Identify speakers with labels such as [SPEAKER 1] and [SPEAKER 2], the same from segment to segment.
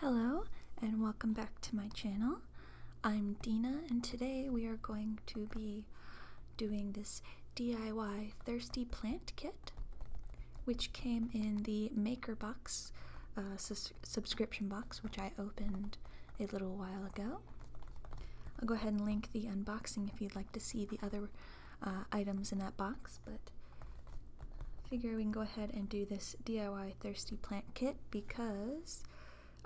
[SPEAKER 1] Hello and welcome back to my channel. I'm Dina and today we are going to be doing this DIY Thirsty Plant Kit which came in the Maker Box uh, subscription box which I opened a little while ago. I'll go ahead and link the unboxing if you'd like to see the other uh, items in that box but I figure we can go ahead and do this DIY thirsty plant kit because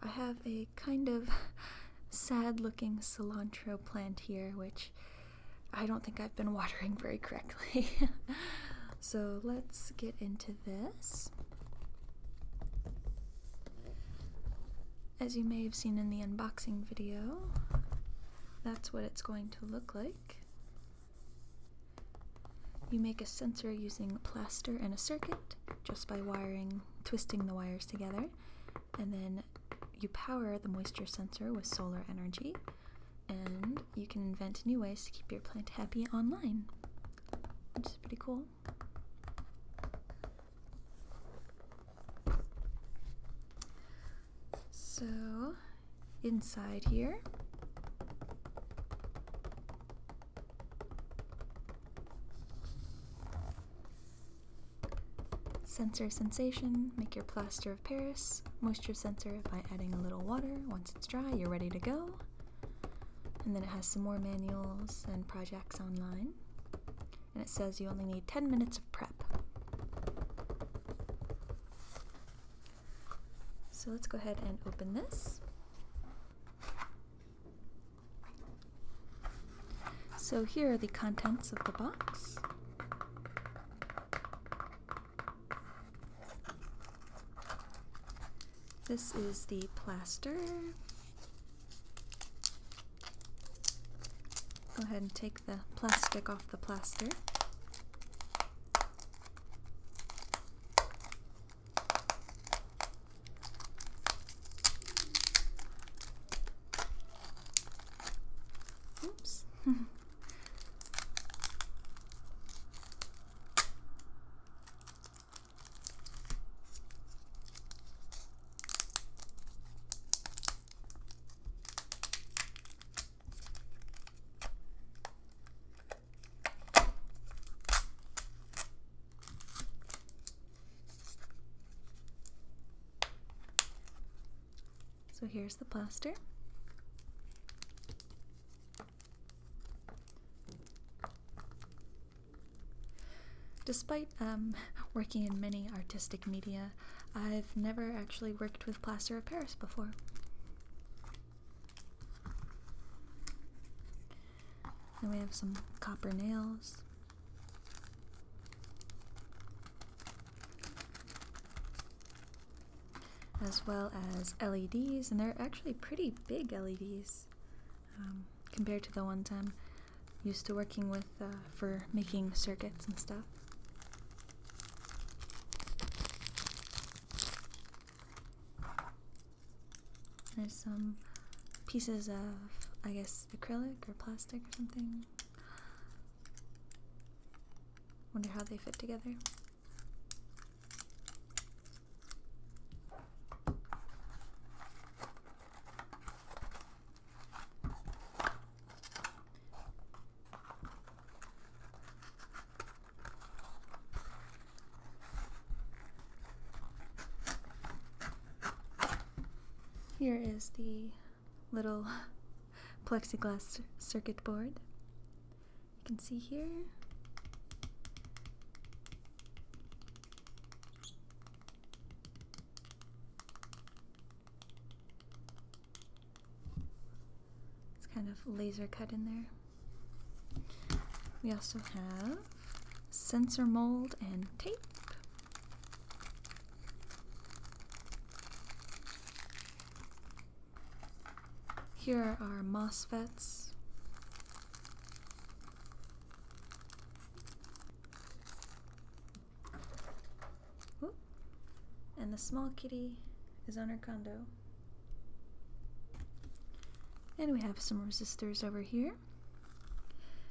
[SPEAKER 1] I have a kind of sad looking cilantro plant here, which I don't think I've been watering very correctly. so let's get into this. As you may have seen in the unboxing video, that's what it's going to look like. You make a sensor using plaster and a circuit just by wiring, twisting the wires together, and then you power the moisture sensor with solar energy, and you can invent new ways to keep your plant happy online, which is pretty cool. So, inside here. Sensor sensation, make your plaster of Paris. Moisture sensor by adding a little water. Once it's dry, you're ready to go. And then it has some more manuals and projects online. And it says you only need 10 minutes of prep. So let's go ahead and open this. So here are the contents of the box. This is the plaster. Go ahead and take the plastic off the plaster. Oops. So here's the plaster. Despite um, working in many artistic media, I've never actually worked with plaster of Paris before. Then we have some copper nails. As well as LEDs, and they're actually pretty big LEDs um, compared to the ones I'm used to working with uh, for making circuits and stuff. There's some pieces of, I guess, acrylic or plastic or something. Wonder how they fit together. Here is the little plexiglass circuit board. You can see here. It's kind of laser cut in there. We also have sensor mold and tape. Here are our MOSFETs. And the small kitty is on her condo. And we have some resistors over here.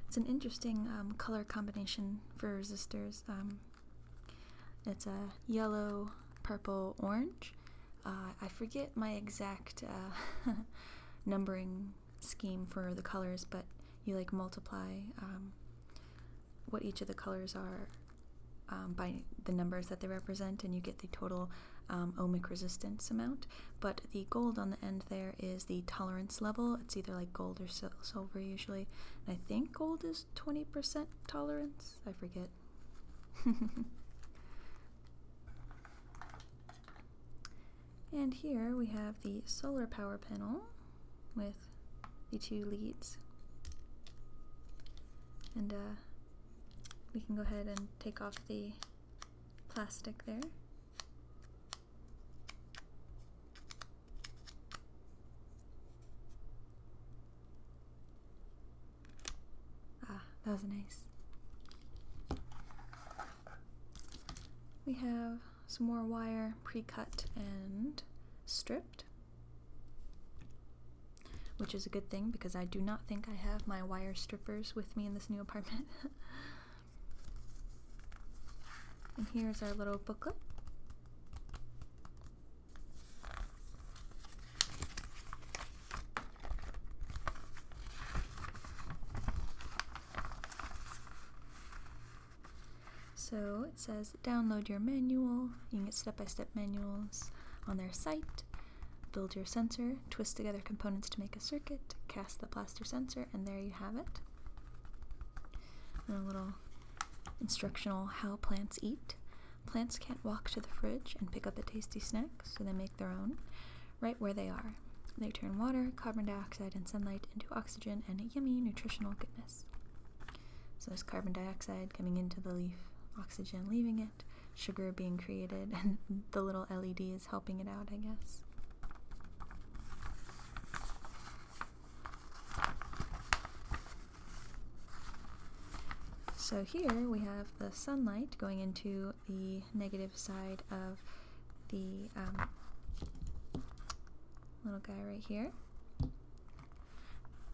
[SPEAKER 1] It's an interesting um, color combination for resistors. Um, it's a yellow, purple, orange. Uh, I forget my exact uh, numbering scheme for the colors, but you like multiply um, what each of the colors are um, by the numbers that they represent, and you get the total um, ohmic resistance amount. But the gold on the end there is the tolerance level. It's either like gold or silver usually. I think gold is 20% tolerance. I forget. and here we have the solar power panel with the two leads. And uh, we can go ahead and take off the plastic there. Ah, that was nice. We have some more wire pre-cut and stripped. Which is a good thing because I do not think I have my wire strippers with me in this new apartment. and here's our little booklet. So it says download your manual. You can get step by step manuals on their site. Build your sensor, twist together components to make a circuit, cast the plaster sensor, and there you have it. And a little instructional how plants eat. Plants can't walk to the fridge and pick up a tasty snack, so they make their own right where they are. They turn water, carbon dioxide, and sunlight into oxygen and yummy nutritional goodness. So there's carbon dioxide coming into the leaf, oxygen leaving it, sugar being created, and the little LED is helping it out, I guess. So here we have the sunlight going into the negative side of the um, little guy right here.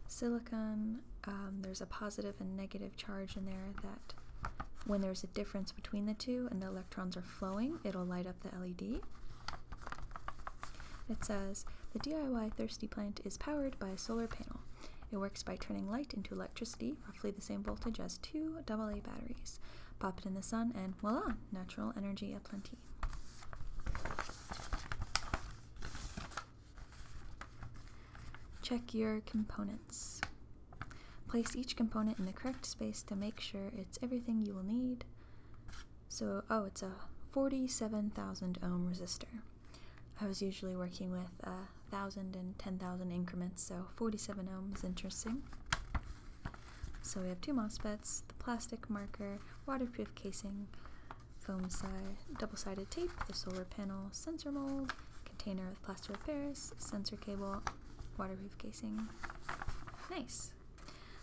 [SPEAKER 1] Silicon, um, there's a positive and negative charge in there that when there's a difference between the two and the electrons are flowing, it'll light up the LED. It says, the DIY Thirsty Plant is powered by a solar panel. It works by turning light into electricity, roughly the same voltage as two AA batteries. Pop it in the sun and voila, natural energy aplenty. Check your components. Place each component in the correct space to make sure it's everything you will need. So, oh, it's a 47,000 ohm resistor. I was usually working with uh, 1,000 and 10,000 increments, so 47 ohms interesting. So we have two MOSFETs, the plastic marker, waterproof casing, foam side, double-sided tape, the solar panel, sensor mold, container of plaster repairs, sensor cable, waterproof casing. Nice.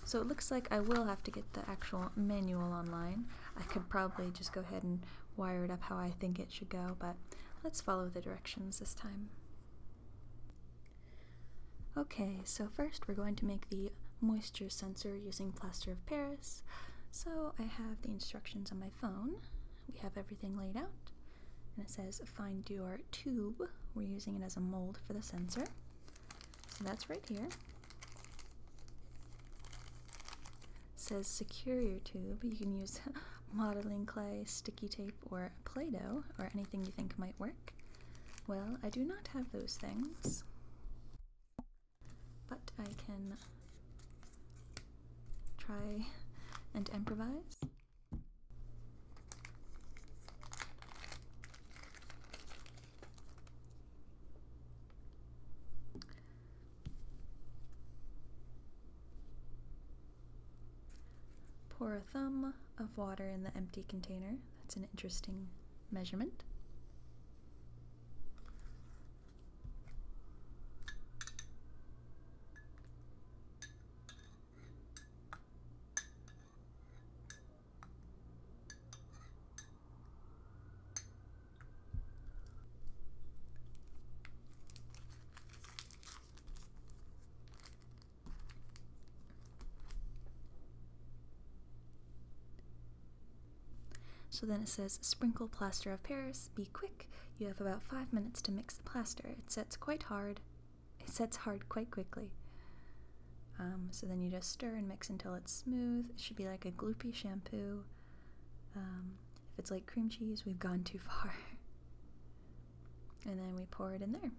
[SPEAKER 1] So it looks like I will have to get the actual manual online. I could probably just go ahead and wire it up how I think it should go, but let's follow the directions this time. Okay, so first we're going to make the moisture sensor using plaster of Paris. So I have the instructions on my phone. We have everything laid out. And it says find your tube. We're using it as a mold for the sensor. So that's right here. says secure your tube. You can use modeling clay, sticky tape, or Play-Doh, or anything you think might work. Well, I do not have those things. But I can try and improvise. Pour a thumb of water in the empty container. That's an interesting measurement. So then it says sprinkle plaster of Paris, be quick. You have about five minutes to mix the plaster. It sets quite hard. It sets hard quite quickly. Um, so then you just stir and mix until it's smooth. It should be like a gloopy shampoo. Um, if it's like cream cheese, we've gone too far. and then we pour it in there.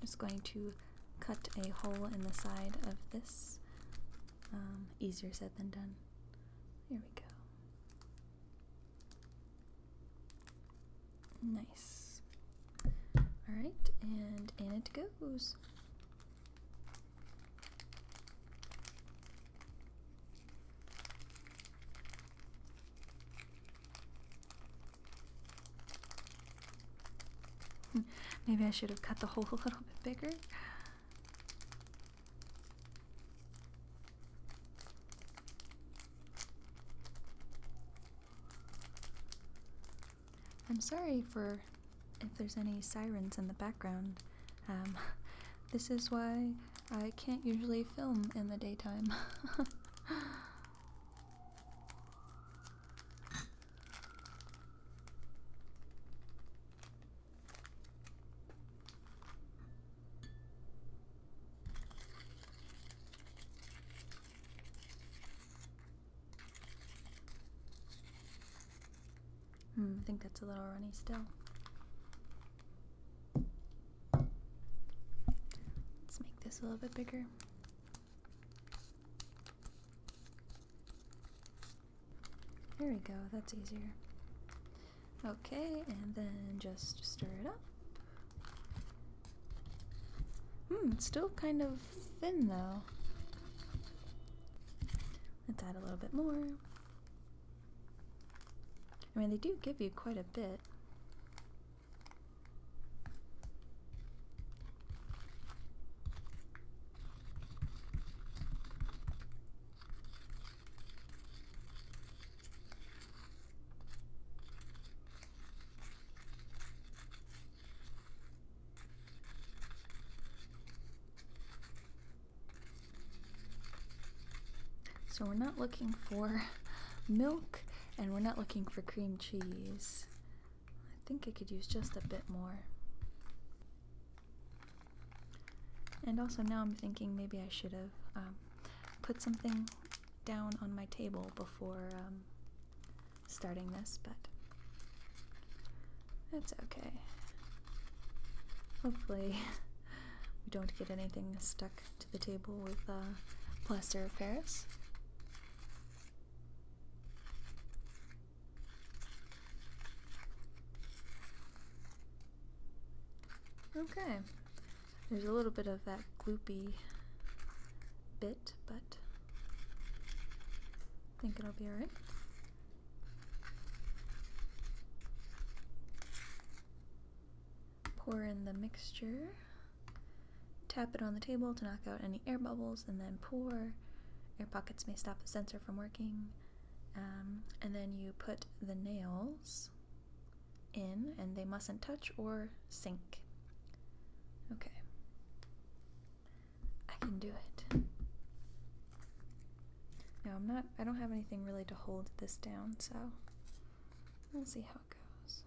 [SPEAKER 1] Just going to cut a hole in the side of this. Um, easier said than done. Here we go. Nice. Alright, and in it goes. Hmm. Maybe I should have cut the hole a little bit bigger. I'm sorry for if there's any sirens in the background. Um, this is why I can't usually film in the daytime. Hmm, I think that's a little runny still. Let's make this a little bit bigger. There we go, that's easier. Okay, and then just stir it up. Hmm, it's still kind of thin though. Let's add a little bit more. I mean, they do give you quite a bit. So we're not looking for milk and we're not looking for cream cheese. I think I could use just a bit more. And also now I'm thinking maybe I should have um, put something down on my table before um, starting this, but that's okay. Hopefully we don't get anything stuck to the table with uh, plaster of Paris. Okay, there's a little bit of that gloopy bit, but I think it'll be alright. Pour in the mixture, tap it on the table to knock out any air bubbles, and then pour. Air pockets may stop the sensor from working. Um, and then you put the nails in, and they mustn't touch or sink. Okay. I can do it. No, I'm not, I don't have anything really to hold this down, so we'll see how it goes.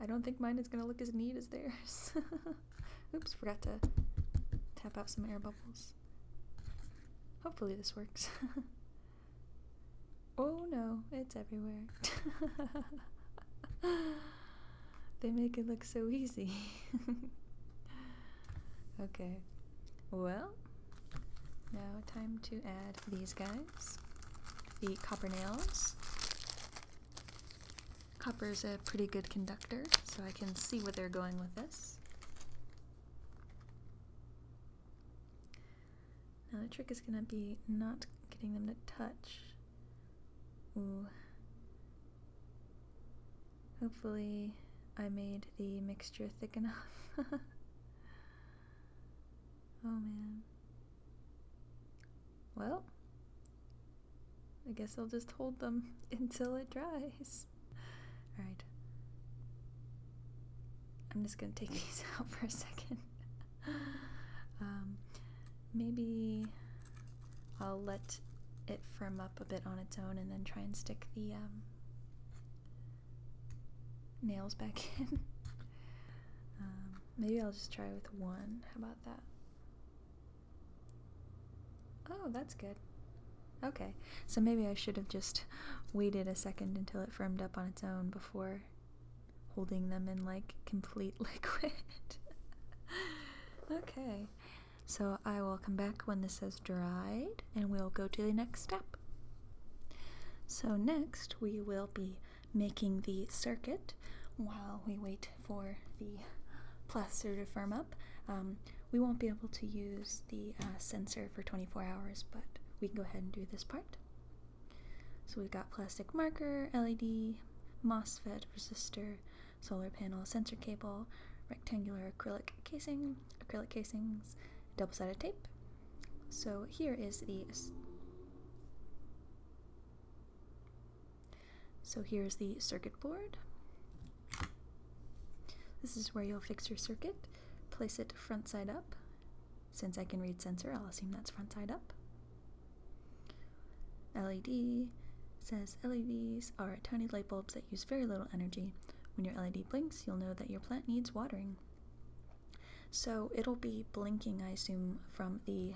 [SPEAKER 1] I don't think mine is going to look as neat as theirs. Oops, forgot to tap out some air bubbles. Hopefully this works. oh no, it's everywhere. They make it look so easy. okay, well, now time to add these guys the copper nails. Copper is a pretty good conductor, so I can see where they're going with this. Now the trick is going to be not getting them to touch. Ooh. Hopefully, I made the mixture thick enough. oh man. Well, I guess I'll just hold them until it dries. Alright. I'm just gonna take these out for a second. um, maybe I'll let it firm up a bit on its own and then try and stick the um, nails back in. Um, maybe I'll just try with one. How about that? Oh, that's good. Okay, so maybe I should have just waited a second until it firm up on its own before holding them in like complete liquid. okay. So I will come back when this has dried and we'll go to the next step. So next we will be making the circuit while we wait for the plaster to firm up. Um, we won't be able to use the uh, sensor for 24 hours, but we can go ahead and do this part. So we've got plastic marker, LED, MOSFET, resistor, solar panel, sensor cable, rectangular acrylic casing, acrylic casings, double sided tape. So here is the So here's the circuit board. This is where you'll fix your circuit. Place it front side up. Since I can read sensor, I'll assume that's front side up. LED says LEDs are tiny light bulbs that use very little energy. When your LED blinks, you'll know that your plant needs watering. So it'll be blinking, I assume, from the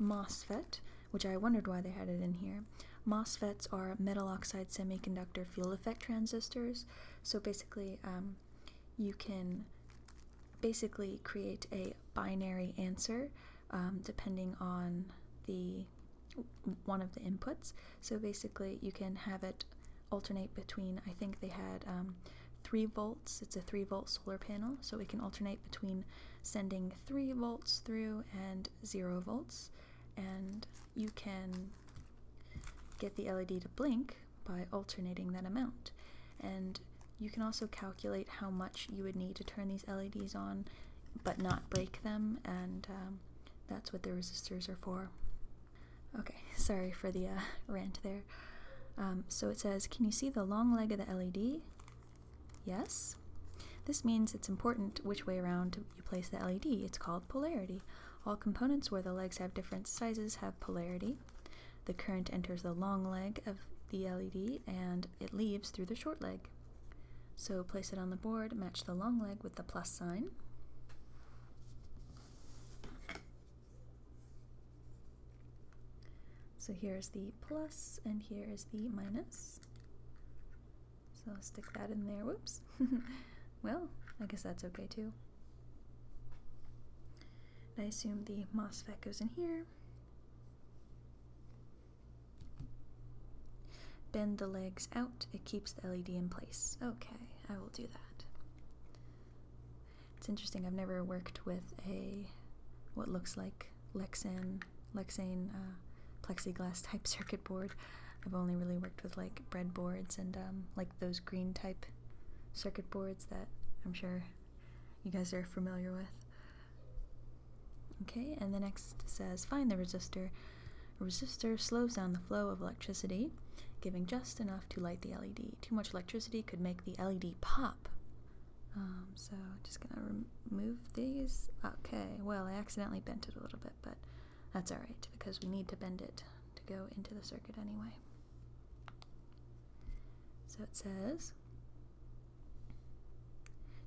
[SPEAKER 1] MOSFET, which I wondered why they had it in here. MOSFETs are metal oxide semiconductor field effect transistors. So basically, um, you can basically create a binary answer um, depending on the one of the inputs. So basically, you can have it alternate between. I think they had um, three volts. It's a three volt solar panel, so it can alternate between sending three volts through and zero volts, and you can get the LED to blink by alternating that amount. And you can also calculate how much you would need to turn these LEDs on but not break them, and um, that's what the resistors are for. Okay, sorry for the uh, rant there. Um, so it says, can you see the long leg of the LED? Yes. This means it's important which way around you place the LED. It's called polarity. All components where the legs have different sizes have polarity. The current enters the long leg of the LED and it leaves through the short leg. So place it on the board, match the long leg with the plus sign. So here is the plus and here is the minus. So stick that in there, whoops. well, I guess that's okay too. I assume the MOSFET goes in here. Bend the legs out, it keeps the LED in place. Okay, I will do that. It's interesting, I've never worked with a what looks like Lexan, Lexane uh, plexiglass type circuit board. I've only really worked with like breadboards and um, like those green type circuit boards that I'm sure you guys are familiar with. Okay, and the next says find the resistor. resistor slows down the flow of electricity, giving just enough to light the LED. Too much electricity could make the LED pop. Um, so just gonna remove these. Okay, well I accidentally bent it a little bit, but that's alright because we need to bend it to go into the circuit anyway. So it says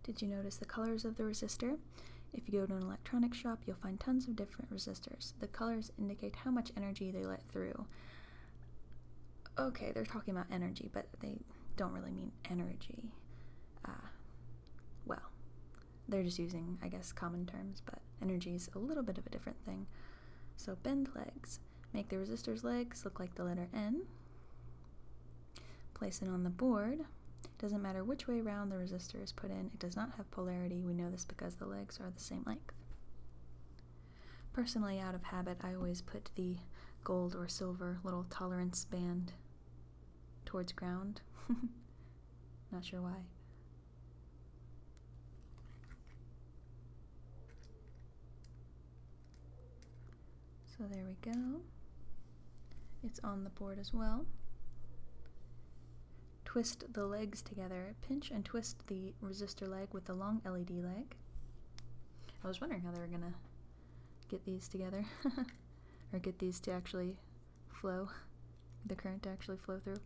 [SPEAKER 1] did you notice the colors of the resistor? If you go to an electronics shop, you'll find tons of different resistors. The colors indicate how much energy they let through. Okay, they're talking about energy, but they don't really mean energy. Uh, well, they're just using, I guess, common terms, but energy is a little bit of a different thing. So bend legs. Make the resistor's legs look like the letter N. Place it on the board. Doesn't matter which way around the resistor is put in, it does not have polarity. We know this because the legs are the same length. Personally, out of habit, I always put the gold or silver little tolerance band towards ground. not sure why. So there we go. It's on the board as well. Twist the legs together. Pinch and twist the resistor leg with the long LED leg. I was wondering how they were going to get these together. or get these to actually flow. The current to actually flow through.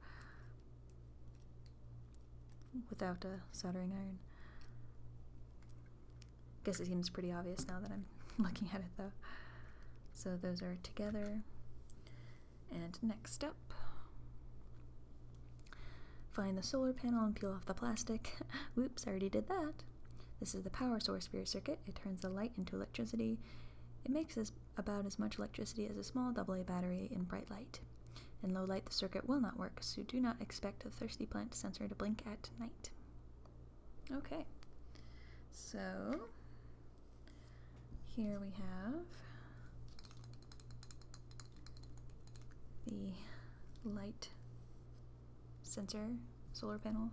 [SPEAKER 1] Without a soldering iron. Guess it seems pretty obvious now that I'm looking at it though. So those are together. And next up, find the solar panel and peel off the plastic. Whoops, I already did that. This is the power source for your circuit. It turns the light into electricity. It makes as, about as much electricity as a small AA battery in bright light. In low light, the circuit will not work, so do not expect the thirsty plant sensor to blink at night. Okay, so here we have the light sensor solar panel.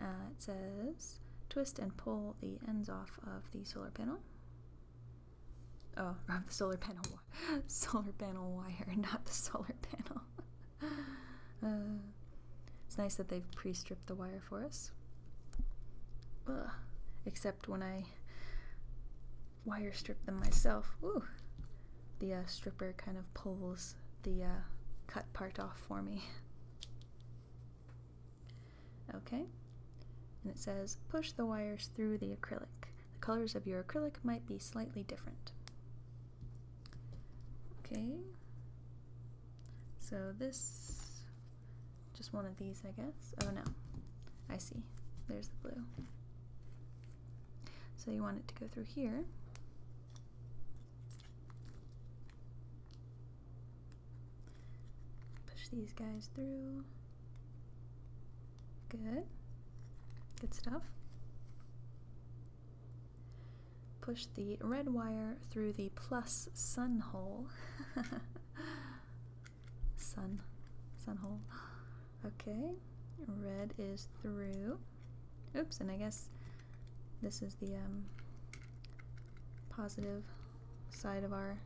[SPEAKER 1] Uh, it says twist and pull the ends off of the solar panel. Oh, of the solar panel solar panel wire, not the solar panel. Uh, it's nice that they've pre stripped the wire for us. Except when I wire strip them myself, the uh, stripper kind of pulls the uh, cut part off for me. Okay, and it says push the wires through the acrylic. The colors of your acrylic might be slightly different. Okay, so this, just one of these, I guess. Oh no, I see. There's the blue. So you want it to go through here. Push these guys through. Good. Good stuff. Push the red wire through the plus sun hole. sun. Sun hole. Okay. Red is through. Oops, and I guess this is the um, positive side of our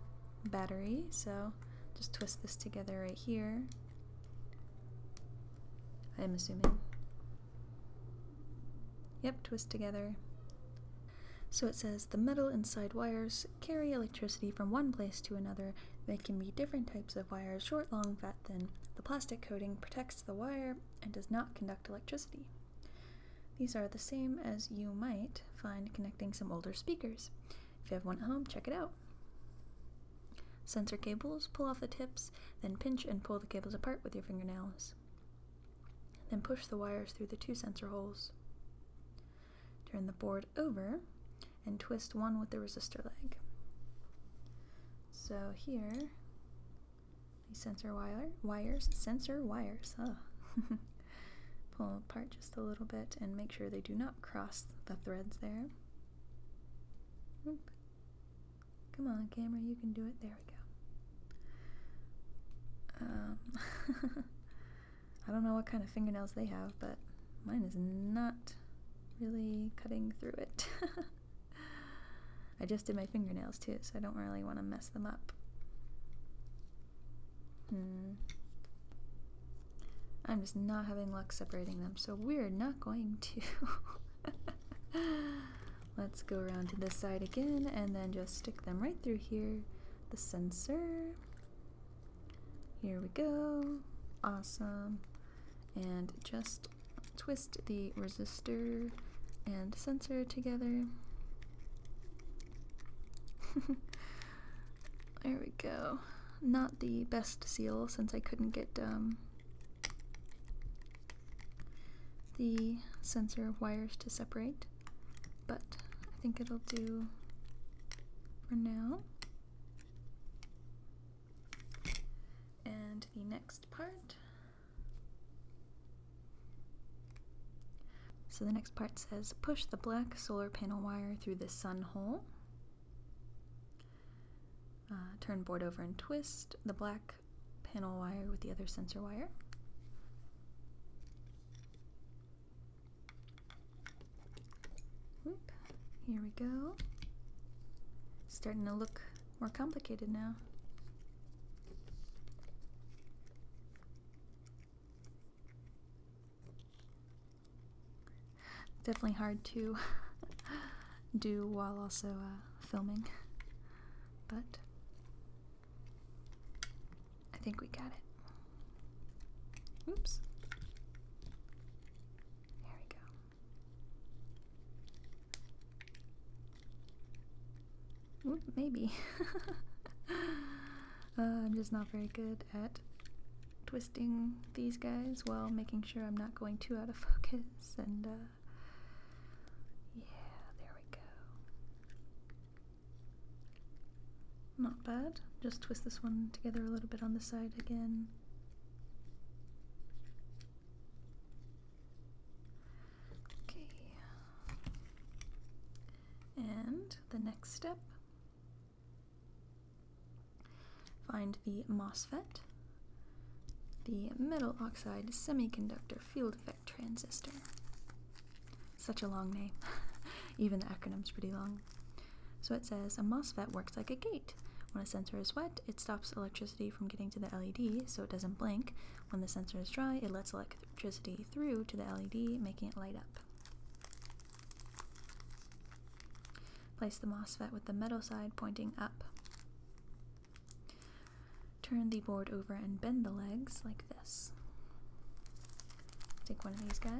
[SPEAKER 1] battery. So just twist this together right here. I am assuming. Yep, twist together. So it says the metal inside wires carry electricity from one place to another. They can be different types of wires short, long, fat, thin. The plastic coating protects the wire and does not conduct electricity. These are the same as you might find connecting some older speakers. If you have one at home, check it out. Sensor cables, pull off the tips, then pinch and pull the cables apart with your fingernails. Then push the wires through the two sensor holes. Turn the board over and twist one with the resistor leg. So here, the sensor wires, sensor wires, huh? Pull apart just a little bit and make sure they do not cross the threads there. Come on, camera, you can do it. There we go. Um, I don't know what kind of fingernails they have, but mine is not really cutting through it. I just did my fingernails too, so I don't really want to mess them up. Hmm. I'm just not having luck separating them, so we're not going to. Let's go around to this side again and then just stick them right through here. The sensor. Here we go. Awesome. And just twist the resistor and sensor together. There we go. Not the best seal since I couldn't get um, the sensor wires to separate, but I think it'll do for now. And the next part. So the next part says push the black solar panel wire through the sun hole. Uh, turn board over and twist the black panel wire with the other sensor wire. here we go. Starting to look more complicated now. Definitely hard to do while also uh, filming, but I think we got it. Oops. There we go. maybe. Uh, I'm just not very good at twisting these guys while making sure I'm not going too out of focus and uh, yeah, there we go. Not bad. Just twist this one together a little bit on the side again. Okay. And the next step Find the MOSFET, the metal oxide semiconductor field effect transistor. Such a long name. Even the acronym's pretty long. So it says a MOSFET works like a gate. When a sensor is wet, it stops electricity from getting to the LED so it doesn't blink. When the sensor is dry, it lets electricity through to the LED, making it light up. Place the MOSFET with the metal side pointing up. Turn the board over and bend the legs like this. Take one of these guys.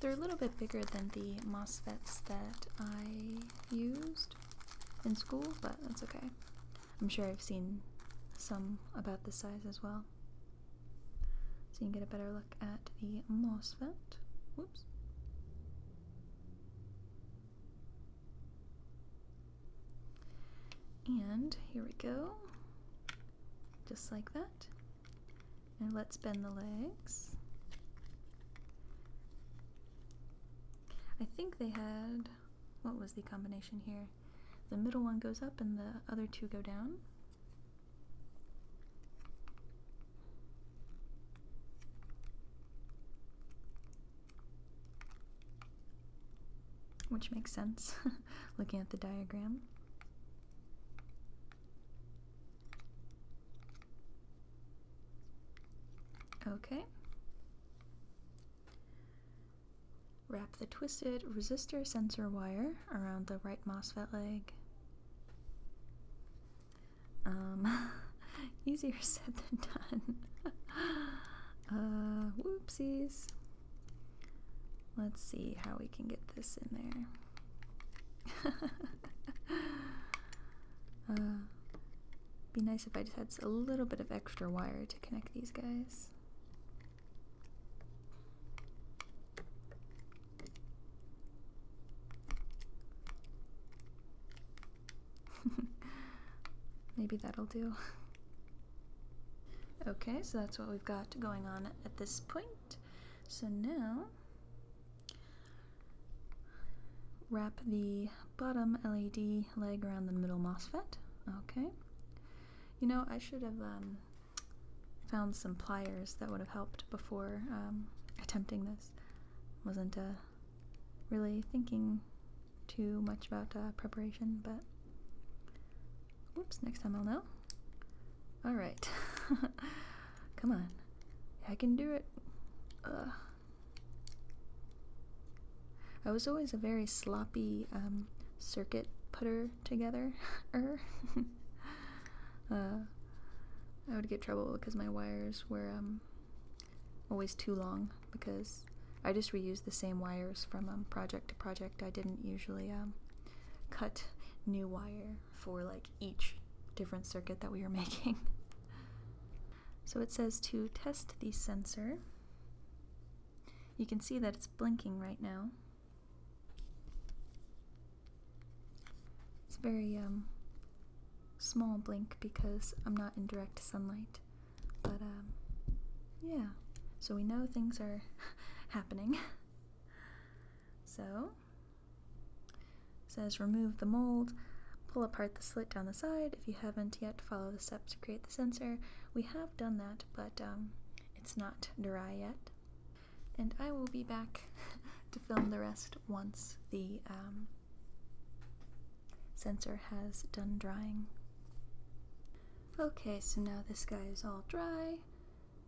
[SPEAKER 1] They're a little bit bigger than the MOSFETs that I used in school, but that's okay. I'm sure I've seen some about this size as well so you can get a better look at the MOSFET. Whoops. And here we go, just like that. And let's bend the legs. I think they had, what was the combination here? The middle one goes up and the other two go down. Which makes sense looking at the diagram. Okay. Wrap the twisted resistor sensor wire around the right MOSFET leg. Um, easier said than done. Uh, whoopsies. Let's see how we can get this in there. Uh, be nice if I just had a little bit of extra wire to connect these guys. Maybe that'll do. Okay, so that's what we've got going on at this point. So now, wrap the bottom LED leg around the middle MOSFET. Okay. You know, I should have um, found some pliers that would have helped before um, attempting this. Wasn't uh, really thinking too much about uh, preparation, but oops, next time I'll know. All right, come on, I can do it. I was always a very sloppy um, circuit putter together. Er. Uh, I would get trouble because my wires were um, always too long because I just reused the same wires from um, project to project. I didn't usually um, cut new wire for like each different circuit that we were making. so it says to test the sensor. You can see that it's blinking right now. It's very um, small blink because I'm not in direct sunlight. But um, yeah. So we know things are happening. so says remove the mold, pull apart the slit down the side. If you haven't yet, follow the steps to create the sensor. We have done that, but um, it's not dry yet and I will be back to film the rest once the um, sensor has done drying. Okay, so now this guy is all dry,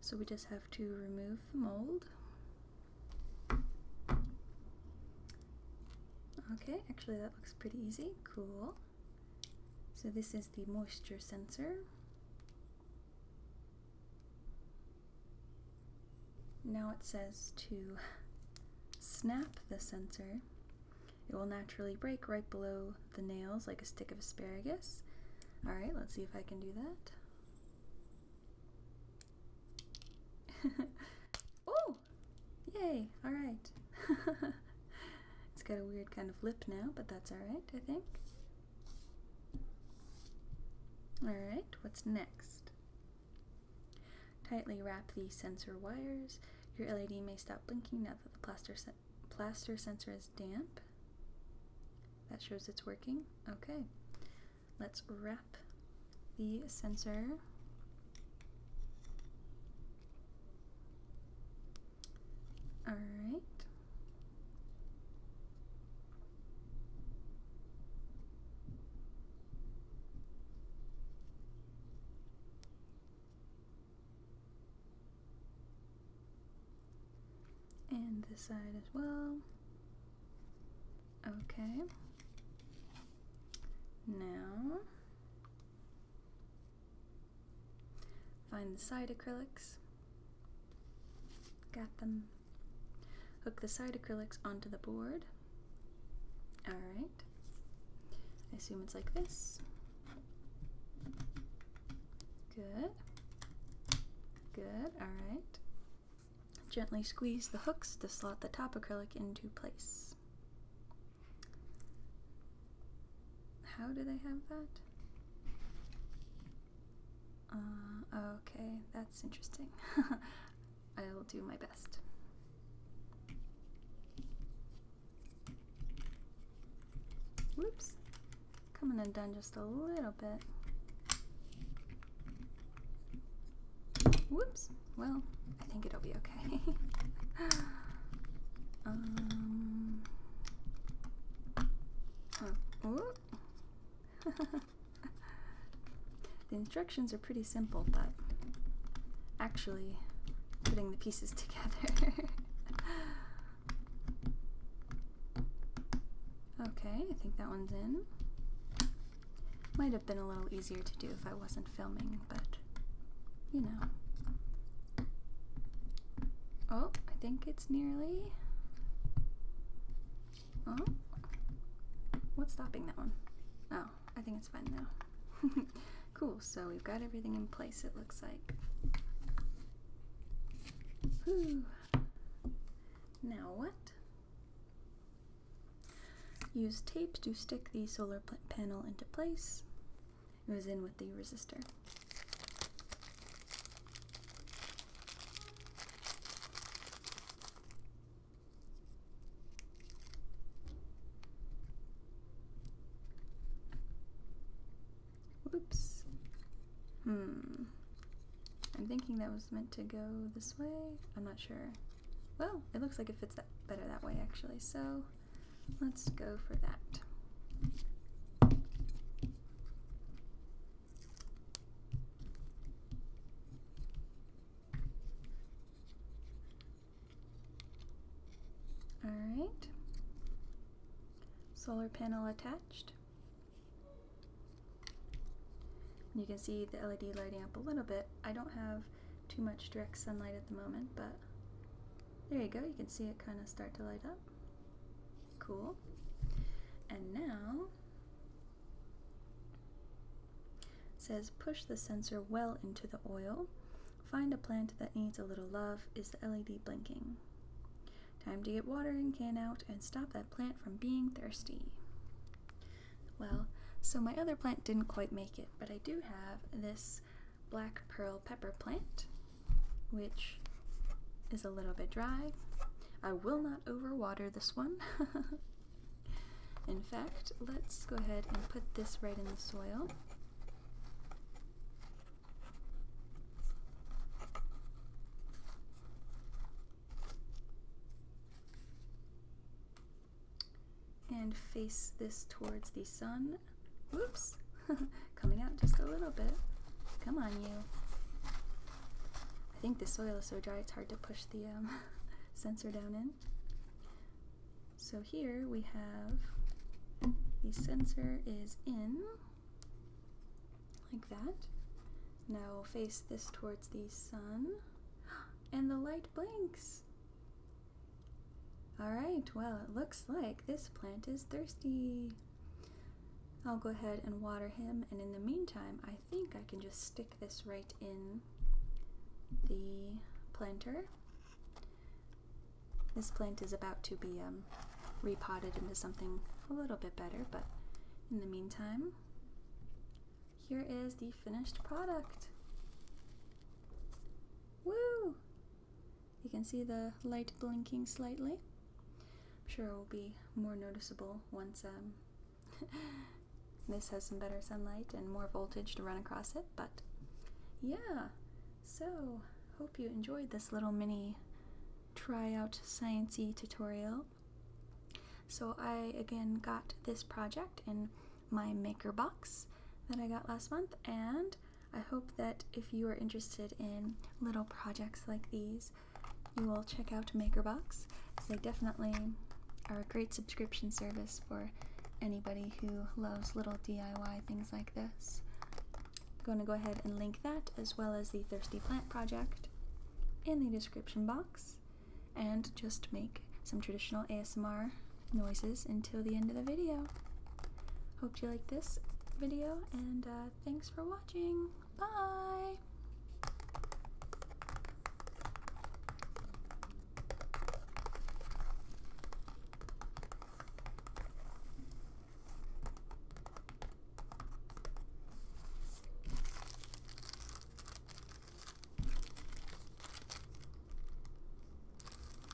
[SPEAKER 1] so we just have to remove the mold. Okay, actually that looks pretty easy. Cool. So this is the moisture sensor. Now it says to snap the sensor. It will naturally break right below the nails like a stick of asparagus. Alright, let's see if I can do that. oh! Yay! Alright. it's got a weird kind of lip now, but that's alright, I think. Alright, what's next? Tightly wrap the sensor wires. Your LED may stop blinking now that the plaster, plaster sensor is damp. That shows it's working. Okay, let's wrap the sensor all right. And this side as well. Okay. Now Find the side acrylics. Got them. Hook the side acrylics onto the board. Alright. I assume it's like this. Good. Good, alright. Gently squeeze the hooks to slot the top acrylic into place. How do they have that? Uh, okay, that's interesting. I will do my best. Whoops. Coming undone just a little bit. Whoops. Well, I think it'll be okay. um, uh, the instructions are pretty simple, but actually putting the pieces together. okay, I think that one's in. Might have been a little easier to do if I wasn't filming, but you know, Oh, I think it's nearly. Oh, what's stopping that one? Oh, I think it's fine now. cool, so we've got everything in place, it looks like. Now what? Use tape to stick the solar panel into place. It was in with the resistor. Whoops. Hmm. I'm thinking that was meant to go this way. I'm not sure. Well, it looks like it fits that better that way actually, so let's go for that. All right, solar panel attached. You can see the LED lighting up a little bit. I don't have too much direct sunlight at the moment, but there you go. You can see it kind of start to light up. Cool. And now says push the sensor well into the oil. Find a plant that needs a little love. Is the LED blinking? Time to get watering can out and stop that plant from being thirsty. Well, so my other plant didn't quite make it, but I do have this black pearl pepper plant, which is a little bit dry. I will not overwater this one. in fact, let's go ahead and put this right in the soil. And face this towards the sun on. Whoops. Coming out just a little bit. Come on, you. I think the soil is so dry it's hard to push the um, sensor down in. So here we have the sensor is in, like that. Now face this towards the sun, and the light blinks. Alright, well, it looks like this plant is thirsty. I'll go ahead and water him, and in the meantime, I think I can just stick this right in the planter. This plant is about to be um, repotted into something a little bit better, but in the meantime, here is the finished product. Woo! You can see the light blinking slightly. I'm sure it will be more noticeable once um, this has some better sunlight and more voltage to run across it, but yeah. So, hope you enjoyed this little mini tryout sciencey tutorial. So I again got this project in my maker box that I got last month and I hope that if you are interested in little projects like these, you will check out MakerBox, they definitely are a great subscription service for anybody who loves little DIY things like this. I'm going to go ahead and link that as well as the Thirsty Plant Project in the description box and just make some traditional ASMR noises until the end of the video. Hope you like this video, and uh, thanks for watching. Bye!